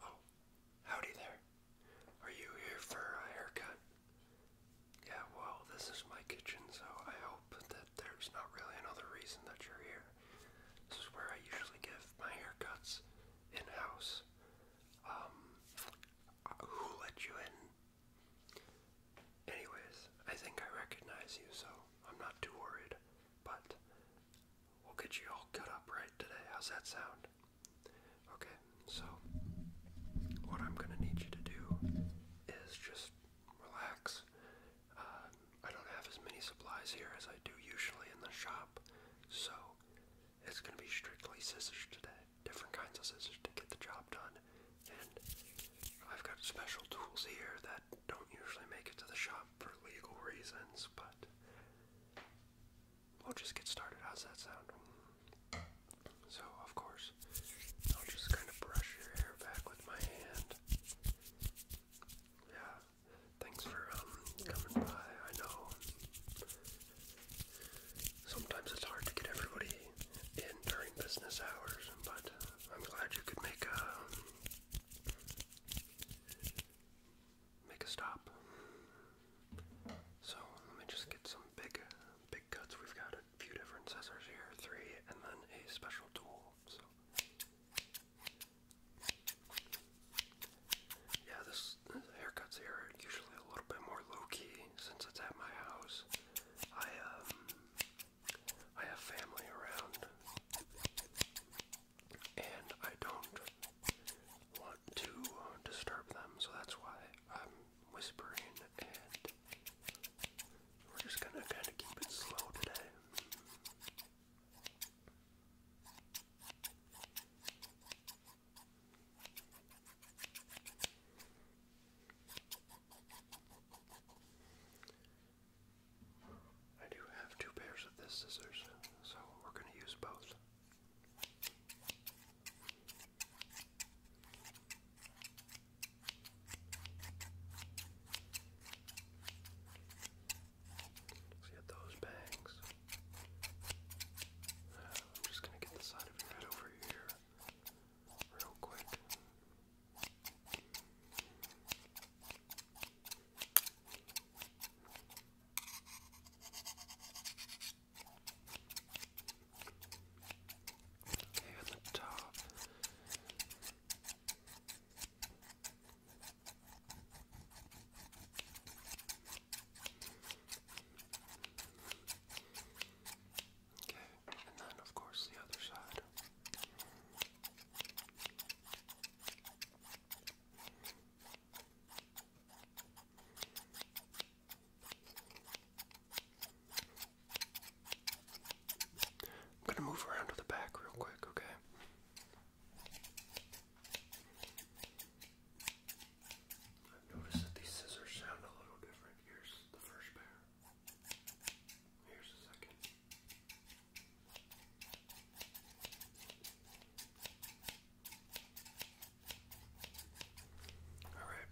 Oh, howdy there. Are you here for a haircut? Yeah, well, this is my kitchen, so I hope that there's not really another reason that you're here. This is where I usually give my haircuts in house. Um, who let you in? Anyways, I think I recognize you, so I'm not too worried. But we'll get you all cut up right today. How's that sound? Okay, so what I'm gonna need you to do is just relax. Uh, I don't have as many supplies here as I do usually in the shop, so it's gonna be strictly scissors today. Different kinds of scissors to get the job done, and I've got special tools here that that don't usually make it to the shop for legal reasons, but we'll just get started. How's that sound? So, of course, I'll just kind of brush your hair back with my hand. Yeah, thanks for um, coming by. I know sometimes it's hard to get everybody in during business hours, but I'm glad you could make a um, make a stop. So let me just get some big, big cuts. We've got a few different scissors here, three, and then a special tool. So yeah, this, haircuts here are usually a little bit more low key since it's at my house. I um I have family around, and I don't want to disturb them, so that's why I'm whispering, and we're just gonna kind of keep it slow today. I do have two pairs of this scissors, so we're going to use both. get those bangs. Uh, I'm just going to get the side of your head over here real quick. Here on the top. Okay, and then of course the other side. I'm going to move around to the back real quick, okay? I've that these scissors sound a little different. Here's the first pair. Here's the second. Alright,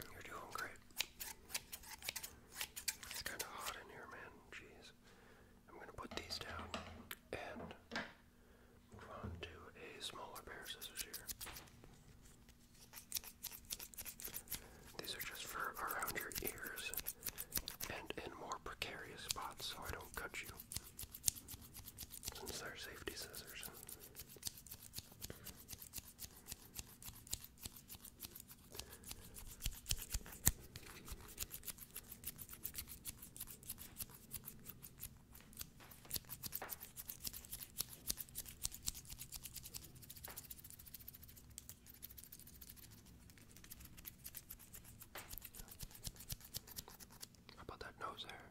you're doing great. It's kind of hot in here, man. Jeez. I'm going to put these down and move on to a smaller pair of scissors here. These are just for around your ears and in more precarious spots so I don't cut you. Since they're safety scissors. How about that nose there?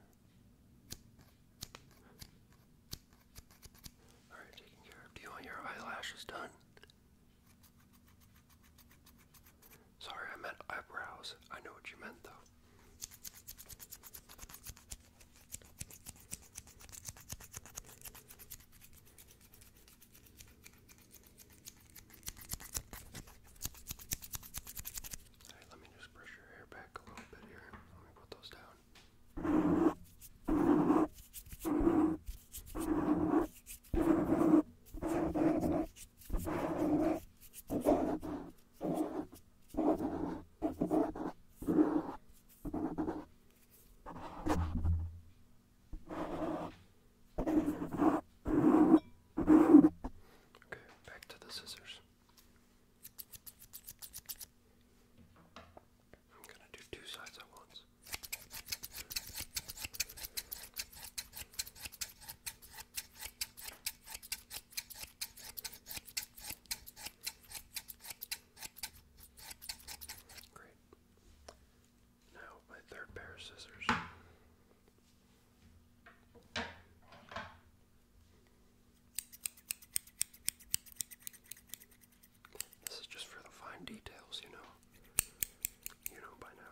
Alright, taking care of. you your eyelashes done? Sorry, I meant eyebrows. I know what you meant though. Alright, let me just brush your hair back a little bit here. Let me put those down. All Okay, back to the scissors. I'm gonna do two sides at once. Great. Now, my third pair of scissors. This is just for the fine details, you know. You know by now.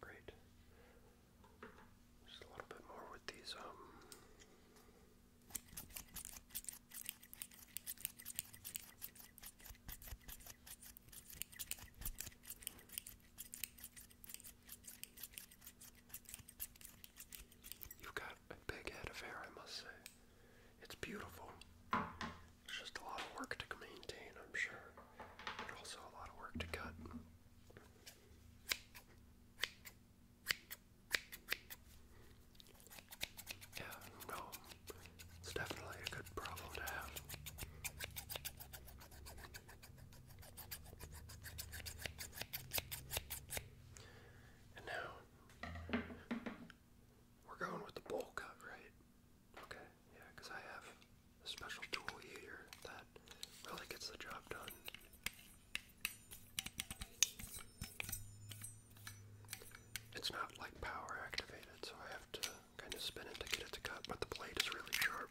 Great. Just a little bit more with these, um. You've got a big head of hair, I must say. It's beautiful. It's just a lot of work to maintain, I'm sure, but also a lot of work to cut. Yeah, no, it's definitely a good problem to have. And now, we're going with the bowl cut, right? Okay, yeah, because I have a special tool here that really gets the job done. It's not like power activated, so I have to kind of spin it to get it to cut, but the blade is really sharp.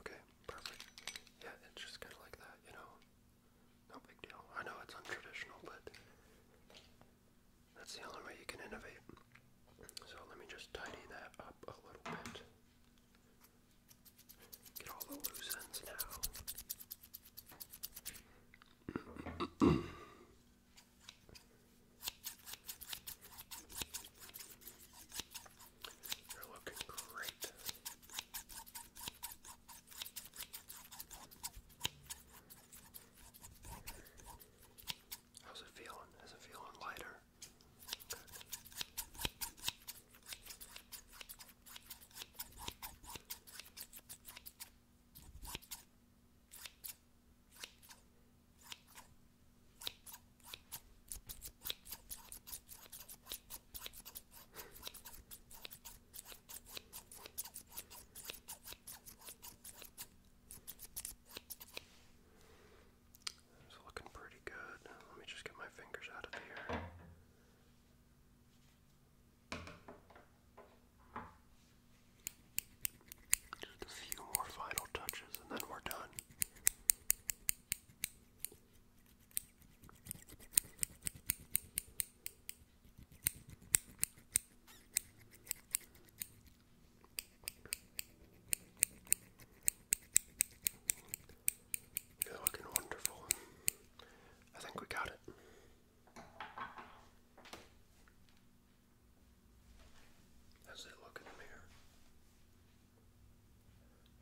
Okay, perfect. Yeah, it's just kind of like that, you know? No big deal. I know it's untraditional, but that's the only way you can innovate. So let me just tidy that up a little bit. Get all the loose ends now. You're looking great. How's it feeling? Is it feeling lighter? It's looking pretty good. Let me just get my fingers out of here. Just a few more final touches and then we're done. looking wonderful. I think we got it. As they look in the mirror?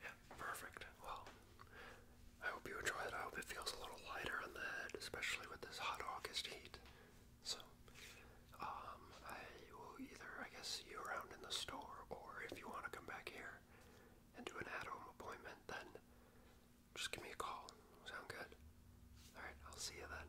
Yeah, perfect. Well, I hope you enjoy it. I hope it feels a little lighter on the head, especially with this hot August heat. So, um, I will either, I guess, see you around in the store, or if you want to come back here and do an at-home appointment, then just give me a call. Sound good? Alright, I'll see you then.